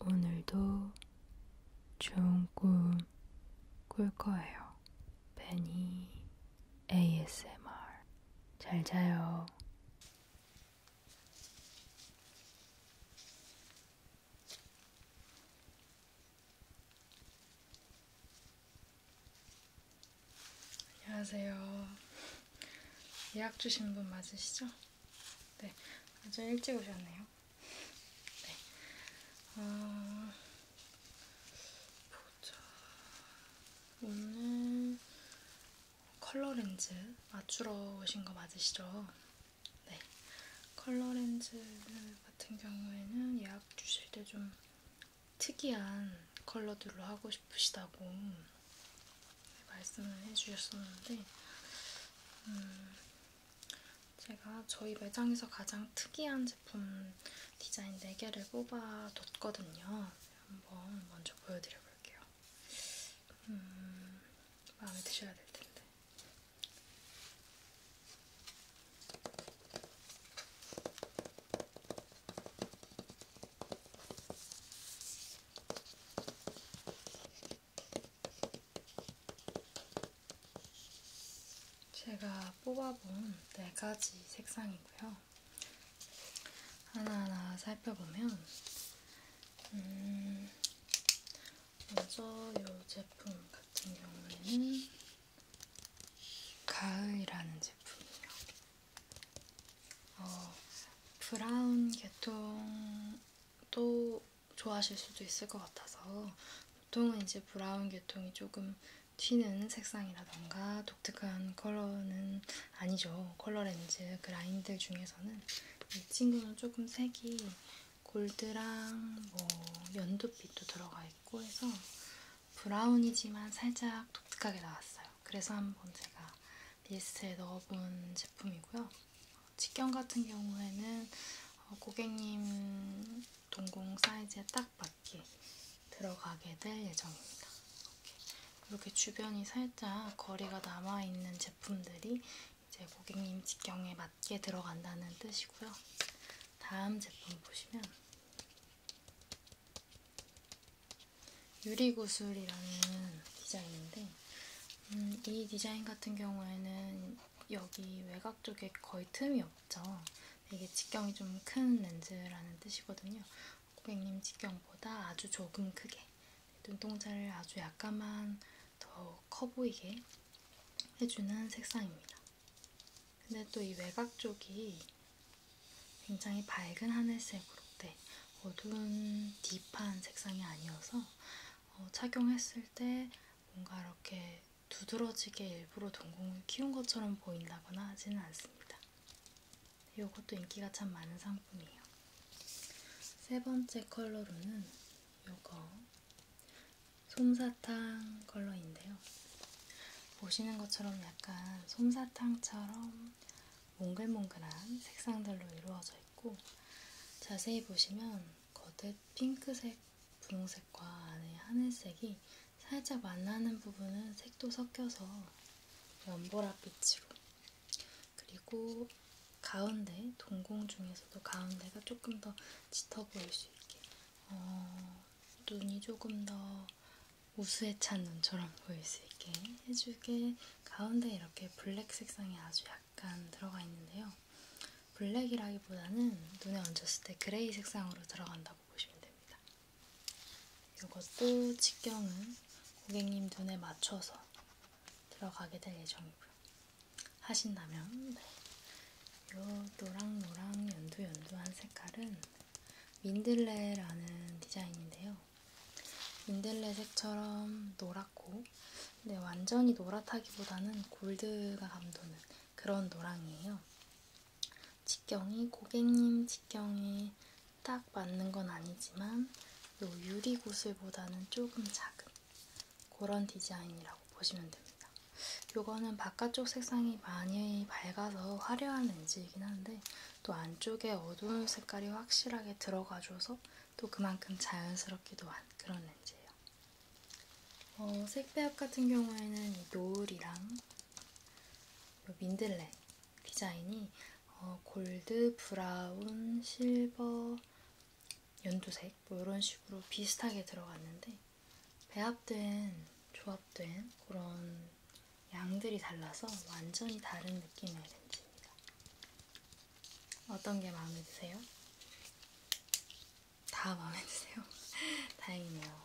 오늘도 좋은 꿈 꿀 거예요. 베니 ASMR. 잘 자요. 안녕하세요. 예약 주신 분 맞으시죠? 네, 아주 일찍 오셨네요. 네. 어, 보자. 오늘 컬러 렌즈 맞추러 오신 거 맞으시죠? 네. 컬러 렌즈 같은 경우에는 예약 주실 때 좀 특이한 컬러들로 하고 싶으시다고 네, 말씀을 해주셨었는데, 음, 제가 저희 매장에서 가장 특이한 제품 디자인 4개를 뽑아뒀거든요. 한번 먼저 보여드려볼게요. 음, 마음에 드셔야 될 텐데. 제가 뽑아본 네 가지 색상이고요. 하나하나 살펴보면, 음, 먼저 이 제품 같은 경우에는 가을이라는 제품이에요. 어, 브라운 계통도 좋아하실 수도 있을 것 같아서 보통은 이제 브라운 계통이 조금 튀는 색상이라던가 독특한 컬러는 아니죠. 컬러 렌즈 그라인드 중에서는 이 친구는 조금 색이 골드랑 뭐 연두빛도 들어가 있고 해서 브라운이지만 살짝 독특하게 나왔어요. 그래서 한번 제가 리스트에 넣어본 제품이고요. 직경 같은 경우에는 어, 고객님 동공 사이즈에 딱 맞게 들어가게 될 예정입니다. 이렇게, 이렇게 주변이 살짝 거리가 남아있는 제품들이 이제 고객님 직경에 맞게 들어간다는 뜻이고요. 다음 제품 보시면 유리구슬이라는 디자인인데 음, 이 디자인 같은 경우에는 여기 외곽 쪽에 거의 틈이 없죠. 이게 직경이 좀 큰 렌즈라는 뜻이거든요. 고객님 직경보다 아주 조금 크게 눈동자를 아주 약간만 더 커 보이게 해주는 색상입니다. 근데 또 이 외곽 쪽이 굉장히 밝은 하늘색으로 네, 어두운 딥한 색상이 아니어서 어, 착용했을 때 뭔가 이렇게 두드러지게 일부러 동공을 키운 것처럼 보인다거나 하지는 않습니다. 이것도 인기가 참 많은 상품이에요. 세 번째 컬러로는 이거 솜사탕 컬러인데요. 보시는 것처럼 약간 솜사탕처럼 몽글몽글한 색상들로 이루어져 있고 자세히 보시면 겉에 핑크색, 분홍색과 안에 하늘색이 살짝 만나는 부분은 색도 섞여서 연보라빛으로 그리고 가운데, 동공 중에서도 가운데가 조금 더 짙어 보일 수 있게 어, 눈이 조금 더 우수에 찬 눈처럼 보일 수 있게 해주게 가운데 이렇게 블랙 색상이 아주 약간 들어가 있는데요. 블랙이라기보다는 눈에 얹었을 때 그레이 색상으로 들어간다고 보시면 됩니다. 이것도 직경은 고객님 눈에 맞춰서 들어가게 될 예정이고요. 하신다면 이 네. 노랑노랑 연두연두한 색깔은 민들레라는 디자인인데요. 민들레 색처럼 노랗고 근데 네, 완전히 노랗다기보다는 골드가 감도는 그런 노랑이에요. 직경이 고객님 직경에 딱 맞는 건 아니지만 요 유리 구슬보다는 조금 작은 그런 디자인이라고 보시면 됩니다. 요거는 바깥쪽 색상이 많이 밝아서 화려한 렌즈이긴 한데 또 안쪽에 어두운 색깔이 확실하게 들어가줘서 또 그만큼 자연스럽기도 한 그런 렌즈예요. 어, 색배합 같은 경우에는 이 노을이랑 이 민들레 디자인이 어, 골드, 브라운, 실버, 연두색 뭐 이런 식으로 비슷하게 들어갔는데 배합된, 조합된 그런 양들이 달라서 완전히 다른 느낌의 렌즈입니다. 어떤 게 마음에 드세요? 다 마음에 드세요? 다행이네요.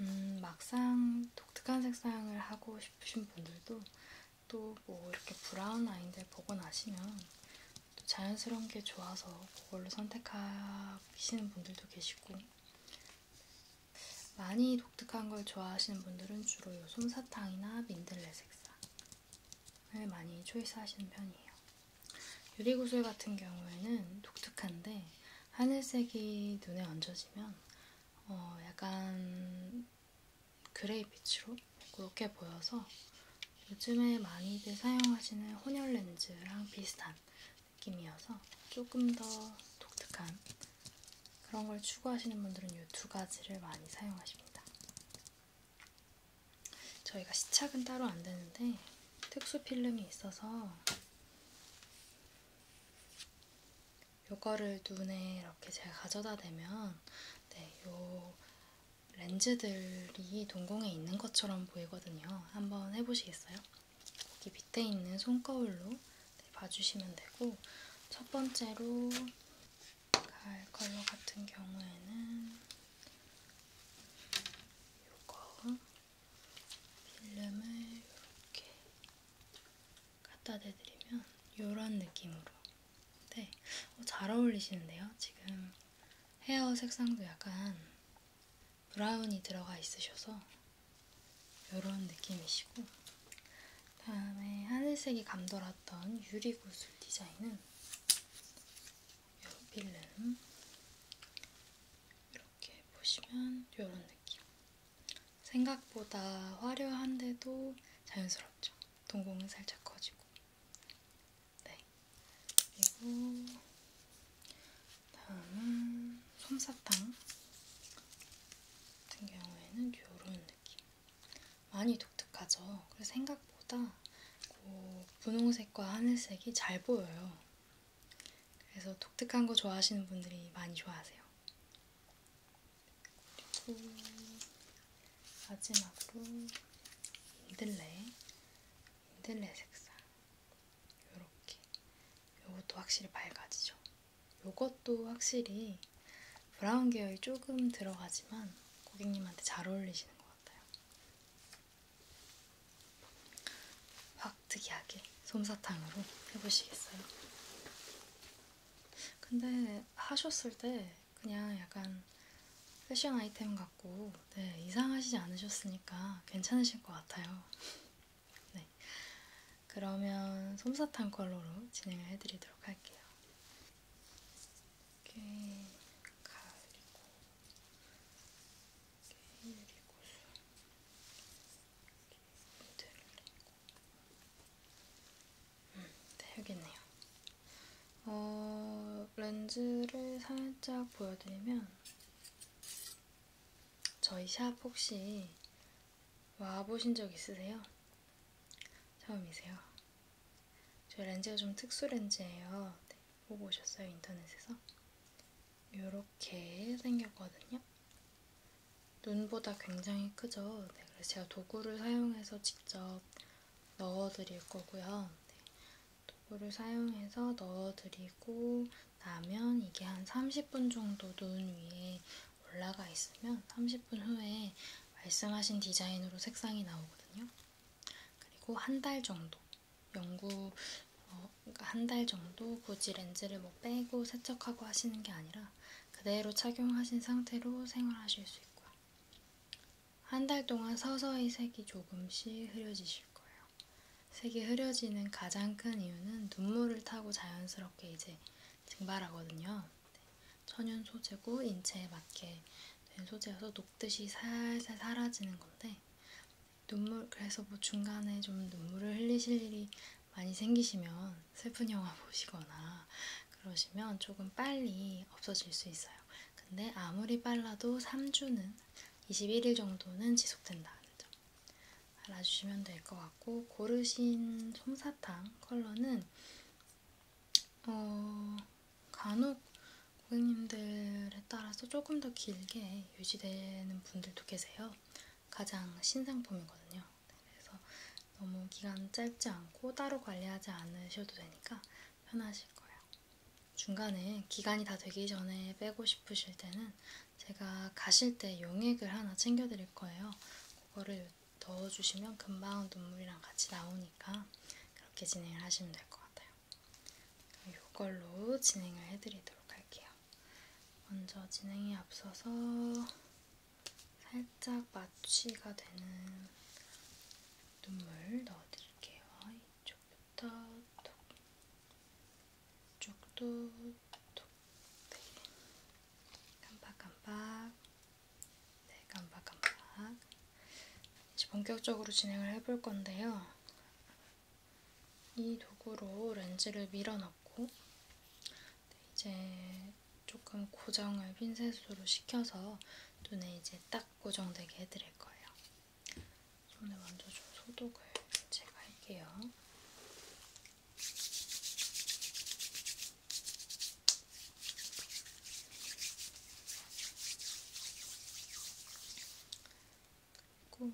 음, 막상 독특한 색상을 하고 싶으신 분들도 또 뭐 이렇게 브라운 라인들 보고 나시면 또 자연스러운 게 좋아서 그걸로 선택하시는 분들도 계시고 많이 독특한 걸 좋아하시는 분들은 주로 요 솜사탕이나 민들레 색상 을 많이 초이스 하시는 편이에요. 유리구슬 같은 경우에는 독특한데 하늘색이 눈에 얹어지면 어 약간 그레이빛으로 그렇게 보여서 요즘에 많이들 사용하시는 혼혈 렌즈랑 비슷한 느낌이어서 조금 더 독특한 그런 걸 추구하시는 분들은 이 두 가지를 많이 사용하십니다. 저희가 시착은 따로 안 되는데 특수 필름이 있어서 요거를 눈에 이렇게 제가 가져다 대면 네, 요 렌즈들이 동공에 있는 것처럼 보이거든요. 한번 해보시겠어요? 여기 밑에 있는 손거울로 네, 봐주시면 되고 첫 번째로 가을 컬러 같은 경우에는 이거 필름을 이렇게 갖다 대드리면 이런 느낌으로 네, 어, 잘 어울리시는데요? 지금 헤어 색상도 약간 브라운이 들어가 있으셔서 이런 느낌이시고 다음에 하늘색이 감돌았던 유리구슬 디자인은 요 필름 이렇게 보시면 이런 느낌. 생각보다 화려한데도 자연스럽죠. 동공은 살짝 커지고. 네. 그리고 다음은 솜사탕 같은 경우에는 이런 느낌. 많이 독특하죠. 그래서 생각보다 그 분홍색과 하늘색이 잘 보여요. 그래서 독특한 거 좋아하시는 분들이 많이 좋아하세요. 그리고 마지막으로 인들레, 인들레 색상. 요렇게. 요것도 확실히 밝아지죠. 요것도 확실히 브라운 계열이 조금 들어가지만 고객님한테 잘 어울리시는 것 같아요. 같아요. 확 특이하게 솜사탕으로 해보시겠어요? 근데 하셨을 때 그냥 약간 패션 아이템 같고 네, 이상하시지 않으셨으니까 괜찮으실 것 같아요. 네, 그러면 솜사탕 컬러로 진행을 해드리도록 할게요. 이렇게 가을이고, 이렇게 유리구슬, 이렇게 들고 음, 네, 여기 있네요. 어, 렌즈를 살짝 보여드리면, 저희 샵 혹시 와보신 적 있으세요? 처음이세요? 저희 렌즈가 좀 특수 렌즈예요. 네, 보고 오셨어요 인터넷에서. 이렇게 생겼거든요. 눈보다 굉장히 크죠. 네, 그래서 제가 도구를 사용해서 직접 넣어드릴 거고요. 네, 도구를 사용해서 넣어드리고 나면 이게 한 30분 정도 눈 위에 올라가 있으면 30분 후에 말씀하신 디자인으로 색상이 나오거든요. 그리고 한 달 정도 연구 어, 그러니까 한 달 정도 굳이 렌즈를 뭐 빼고 세척하고 하시는 게 아니라 그대로 착용하신 상태로 생활하실 수 있고요. 한 달 동안 서서히 색이 조금씩 흐려지실 거예요. 색이 흐려지는 가장 큰 이유는 눈물을 타고 자연스럽게 이제 증발하거든요. 네. 천연 소재고 인체에 맞게 된 소재여서 녹듯이 살살 사라지는 건데 눈물 그래서 뭐 중간에 좀 눈물을 흘리실 일이 많이 생기시면 슬픈 영화 보시거나 그러시면 조금 빨리 없어질 수 있어요. 근데 아무리 빨라도 3주는 21일 정도는 지속된다는 점 알아주시면 될 것 같고 고르신 솜사탕 컬러는 어, 간혹 고객님들에 따라서 조금 더 길게 유지되는 분들도 계세요. 가장 신상품이거든요. 네, 그래서 너무 기간 짧지 않고 따로 관리하지 않으셔도 되니까 편하실 거예요. 중간에 기간이 다 되기 전에 빼고 싶으실 때는 제가 가실 때 용액을 하나 챙겨드릴 거예요. 그거를 넣어주시면 금방 눈물이랑 같이 나오니까 그렇게 진행을 하시면 돼요. 될것 같아요. 이걸로 진행을 해드리도록 할게요. 먼저 진행에 앞서서 살짝 마취가 되는 눈물 넣어드릴게요. 이쪽부터 톡, 이쪽도 톡, 네. 깜빡깜빡, 네 깜빡깜빡. 이제 본격적으로 진행을 해볼 건데요. 이 도구로 렌즈를 밀어넣고 네, 이제 조금 고정을 핀셋으로 시켜서 눈에 이제 딱 고정되게 해드릴 거예요. 손에 먼저 좀 소독을 제가 할게요. 그리고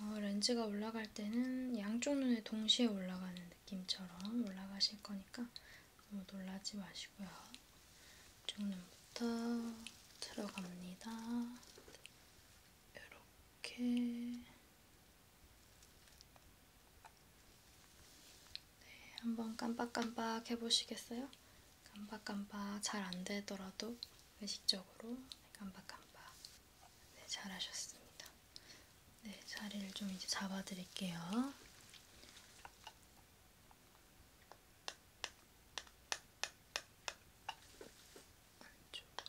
어, 렌즈가 올라갈 때는 양쪽 눈에 동시에 올라가는 느낌처럼 올라가실 거니까 너무 놀라지 마시고요. 쪽 눈부터 들어갑니다. 이렇게 네, 한번 깜빡깜빡 해보시겠어요? 깜빡깜빡 잘 안되더라도 의식적으로 깜빡깜빡 네, 잘하셨습니다. 네, 자리를 좀 이제 잡아드릴게요. 안쪽으로.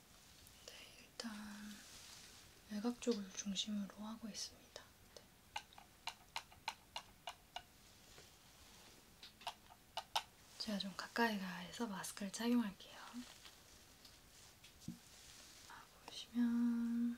네, 일단 외곽 쪽을 중심으로 하고 있습니다. 네. 제가 좀 가까이 가서 마스크를 착용할게요. 아, 보시면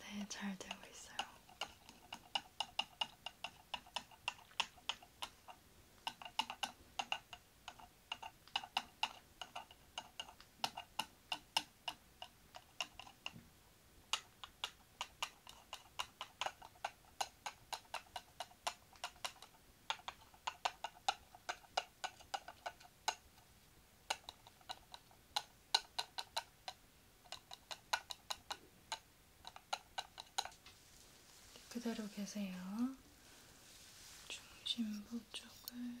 네, 잘 되고 있어요. 그대로 계세요. 중심부 쪽을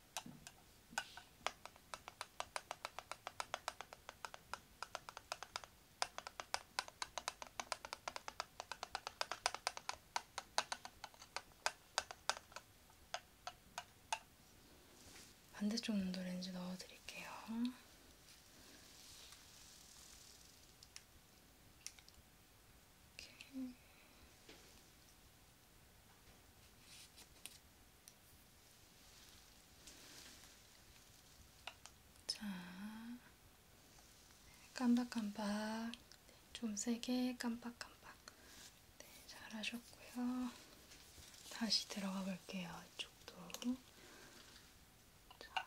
반대쪽 눈도 렌즈 넣어드릴게요. 이렇게. 자, 깜박깜박. 좀 세게 깜박깜박. 네, 잘하셨고요. 다시 들어가 볼게요. 이쪽도. 자.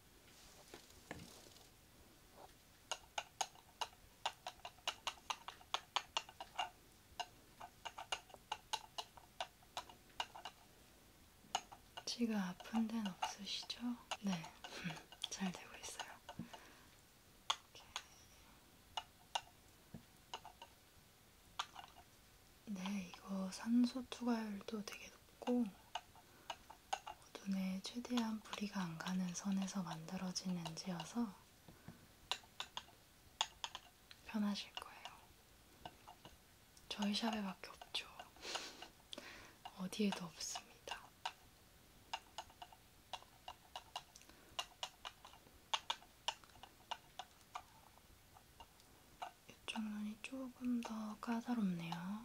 지가 아픈 데는 없으시죠? 네, 잘 되고 있어요. 이렇게. 네, 이거 산소 투과율도 되게 높고 눈에 최대한 부리가 안 가는 선에서 만들어진 렌즈여서 편하실 거예요. 저희 샵에밖에 없죠. 어디에도 없습니다. 이쪽 눈이 조금 더 까다롭네요.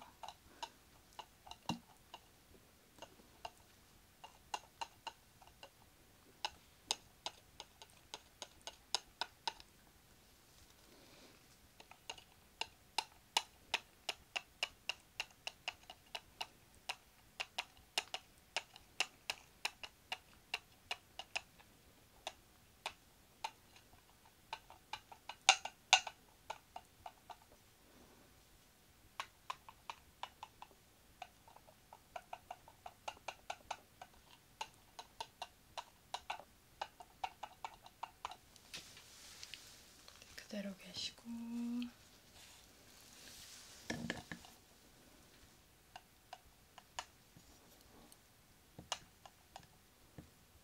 그대로 계시고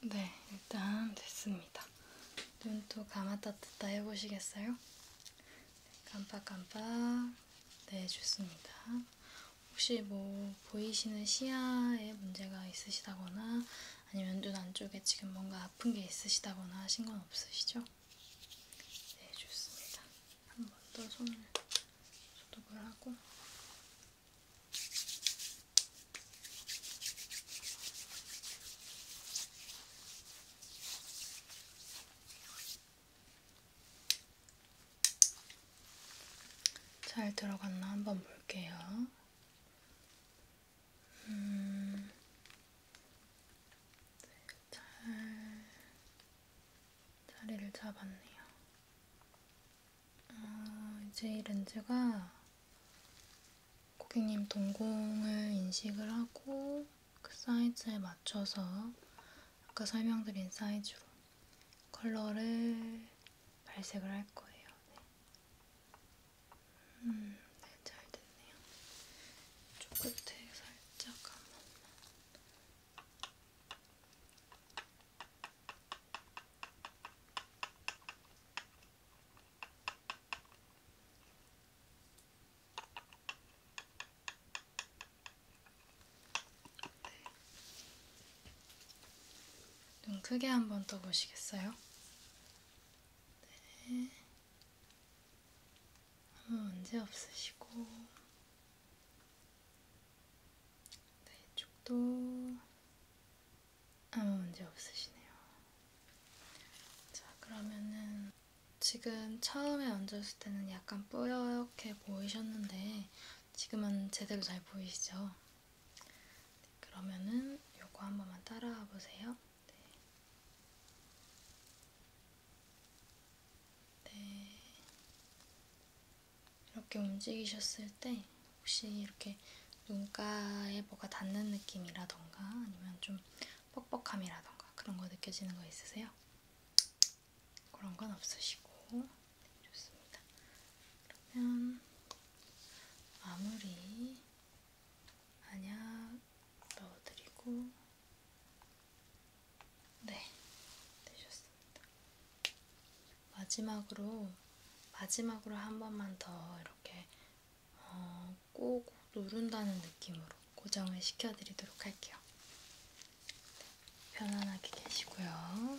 네, 일단 됐습니다. 눈도 감았다 뜯다 해보시겠어요? 깜빡깜빡. 네, 좋습니다. 혹시 뭐 보이시는 시야에 문제가 있으시다거나 아니면 눈 안쪽에 지금 뭔가 아픈 게 있으시다거나 하신 건 없으시죠? 네, 좋습니다. 한 번 더 손을 소독을 하고 잘 들어갔나 한번 볼게요. 음, 잘 자리를 잡았네요. 어, 이제 이 렌즈가 고객님 동공을 인식을 하고 그 사이즈에 맞춰서 아까 설명드린 사이즈로 컬러를 발색을 할 거예요. 네. 음, 네, 잘 됐네요. 쪽 끝에 살짝 한 번만. 네. 눈 크게 한번 떠보시겠어요? 네. 아무 문제 없으시고 네, 이쪽도 아무 문제 없으시네요. 자, 그러면은 지금 처음에 얹었을 때는 약간 뿌옇게 보이셨는데 지금은 제대로 잘 보이시죠? 네, 그러면은 요거 한 번만 따라와 보세요. 네. 네. 이렇게 움직이셨을 때 혹시 이렇게 눈가에 뭐가 닿는 느낌이라던가 아니면 좀 뻑뻑함이라던가 그런 거 느껴지는 거 있으세요? 그런 건 없으시고 네, 좋습니다. 그러면 마무리 안약 넣어드리고 네 되셨습니다. 네, 마지막으로 마지막으로 한 번만 더 이렇게 어, 꼭 누른다는 느낌으로 고정을 시켜드리도록 할게요. 네, 편안하게 계시고요.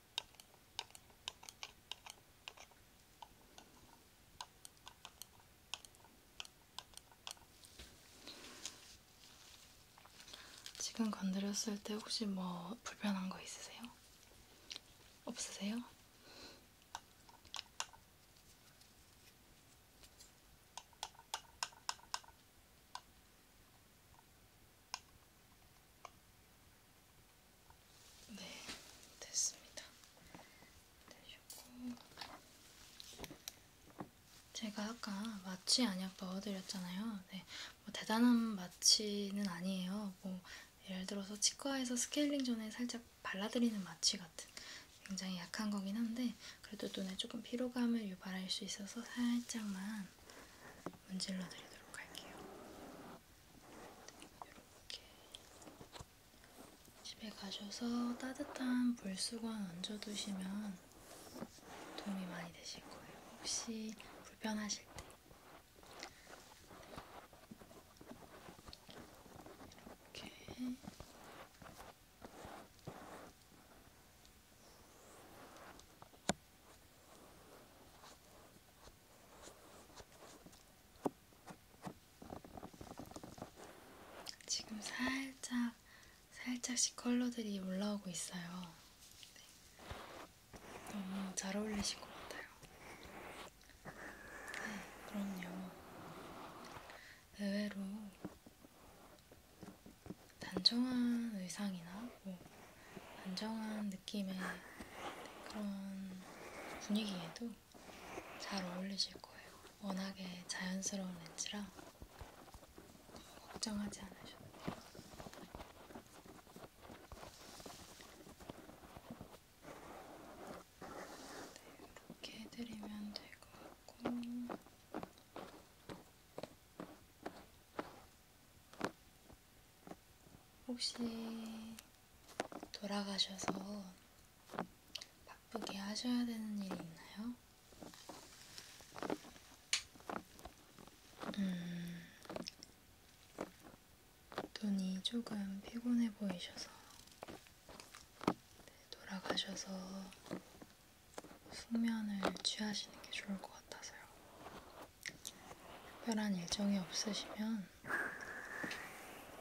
지금 건드렸을 때 혹시 뭐 불편한 거 있으세요? 없으세요? 네, 됐습니다. 되셨고 네, 제가 아까 마취 안약 넣어드렸잖아요. 네, 뭐 대단한 마취는 아니에요. 뭐 예를 들어서 치과에서 스케일링 전에 살짝 발라드리는 마취 같은 굉장히 약한 거긴 한데 그래도 눈에 조금 피로감을 유발할 수 있어서 살짝만 문질러 드리도록 할게요. 이렇게 집에 가셔서 따뜻한 물수건 얹어두시면 도움이 많이 되실 거예요. 혹시 불편하실 때 네. 이렇게 지금 살짝 살짝씩 컬러들이 올라오고 있어요. 네. 너무 잘 어울리신 것 같아요. 네, 그럼요. 의외로 단정한 의상이나 뭐 단정한 느낌의 그런 분위기에도 잘 어울리실 거예요. 워낙에 자연스러운 렌즈라 걱정하지 않으셔도 돼요. 네, 이렇게 해드리면 될 것 같고. 혹시 돌아가셔서 바쁘게 하셔야 되는 일이 있나요? 음, 눈이 조금 피곤해 보이셔서 네, 돌아가셔서 숙면을 취하시는 게 좋을 것 같아서요. 특별한 일정이 없으시면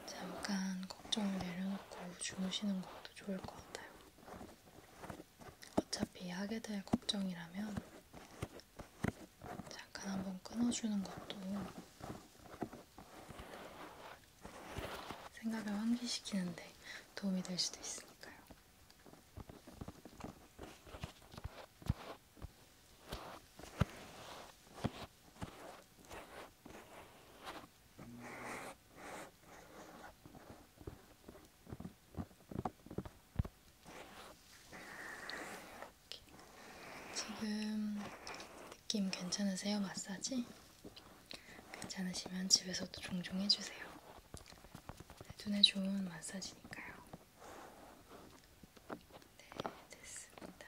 잠깐 걱정을 내려놓고 주무시는 것도 좋을 것 같아요. 어차피 하게 될 걱정이라면 잠깐 한번 끊어주는 것도 생각을 환기시키는데 도움이 될 수도 있으니까요. 지금 느낌 괜찮으세요? 마사지? 괜찮으시면 집에서도 종종 해주세요. 네, 눈에 좋은 마사지니까요. 네, 됐습니다.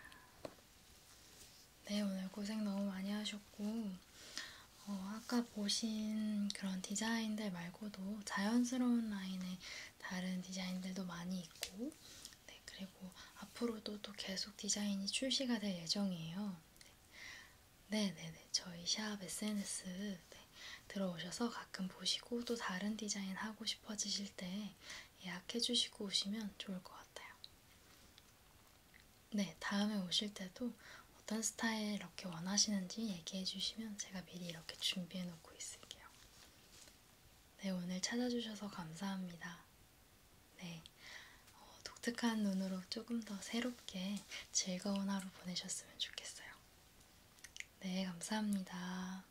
네, 오늘 고생 너무 많이 하셨고, 어, 아까 보신 그런 디자인들 말고도 자연스러운 라인의 다른 디자인들도 많이 있고, 네, 그리고 앞으로도 또 계속 디자인이 출시가 될 예정이에요. 네, 네, 네, 저희 샵 SNS 네, 들어오셔서 가끔 보시고 또 다른 디자인 하고 싶어지실 때 예약해주시고 오시면 좋을 것 같아요. 네, 다음에 오실 때도 어떤 스타일 이렇게 원하시는지 얘기해주시면 제가 미리 이렇게 준비해놓고 있을게요. 네, 오늘 찾아주셔서 감사합니다. 네, 어, 독특한 눈으로 조금 더 새롭게 즐거운 하루 보내셨으면 좋겠어요. 네, 감사합니다.